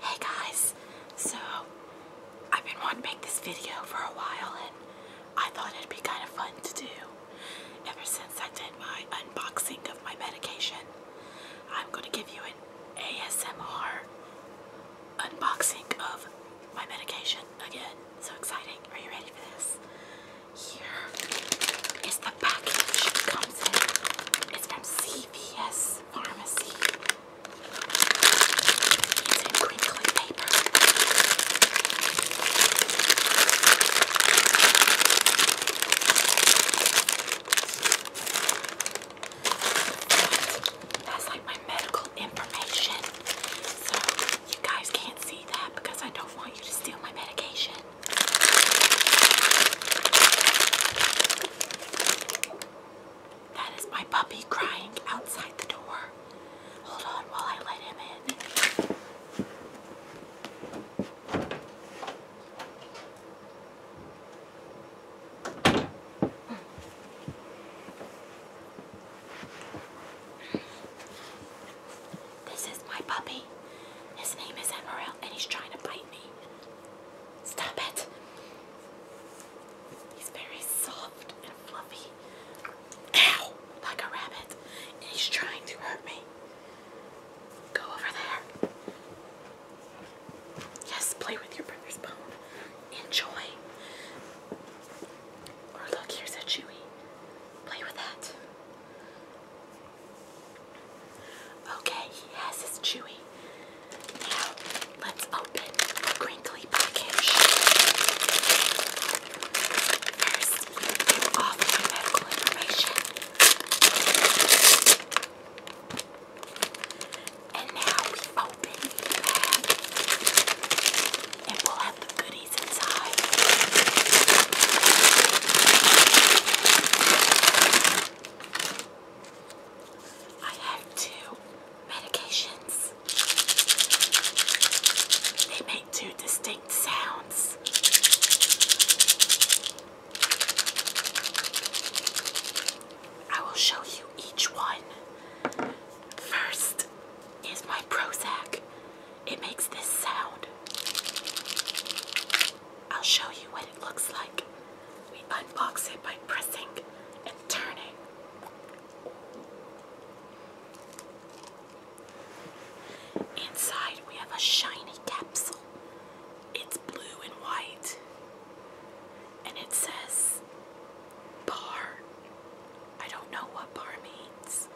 Hey guys, so I've been wanting to make this video for a while and I thought it'd be kind of fun to do. Ever since I did my unboxing of my medication, I'm going to give you an ASMR unboxing of my medication again. So exciting. Are you ready for this? Here is the package it comes in. It's from CVS. Pharmacy. That's like my medical information. So you guys can't see that because I don't want you to steal my medication. That is my puppy crying outside the door. Hold on while I let him in. This is my puppy. His name is Emerald, and he's trying to bite me. Stop it. He's very soft and fluffy. Ow! Like a rabbit. And he's trying to hurt me. Go over there. Yes, play with your brother's bone. Enjoy. Or look, here's a chewy. Play with that. Okay, he has his chewy. Now let's open the crinkly package. First, we do all of medical information. And now we open the bag. And we'll have the goodie I have two medications. They make two distinct sounds. I will show you each one. First is my Prozac it makes this sound. I'll show you what it looks like. We unbox it by pressing and turning. Inside, we have a shiny capsule. It's blue and white. And it says bar. I don't know what bar means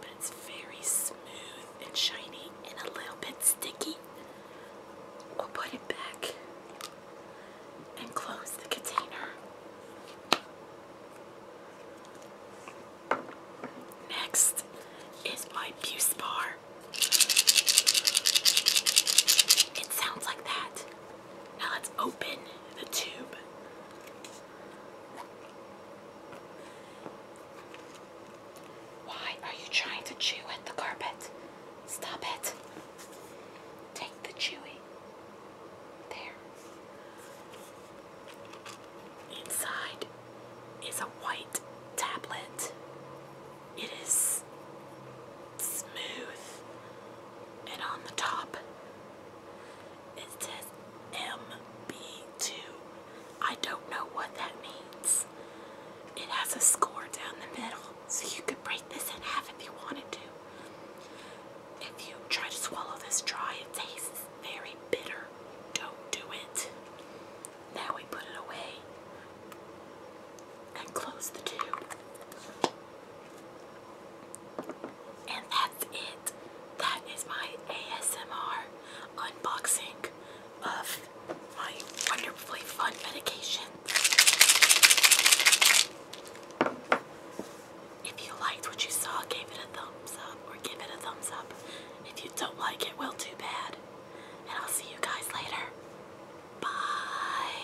but it's very smooth and shiny and a little bit sticky. We'll put it back and close the container. Next is my Buse Bar. It sounds like that. Now let's open the tube why are you trying to chew at the carpet? Stop it. Take the chewy. There. Inside is a white tablet. It is smooth, and on the top it says MB2. I don't know what that means. It has a score down the middle, so you could break this in half if you wanted to. If you try to swallow this dry, it tastes very bitter. Don't do it. Now we put it away and close the tube. And that's it. That is my ASMR unboxing of my wonderfully fun medication. If you liked what you saw, give it a thumbs up or give it a thumbs up. If you don't like it, well, too bad. And I'll see you guys later. Bye.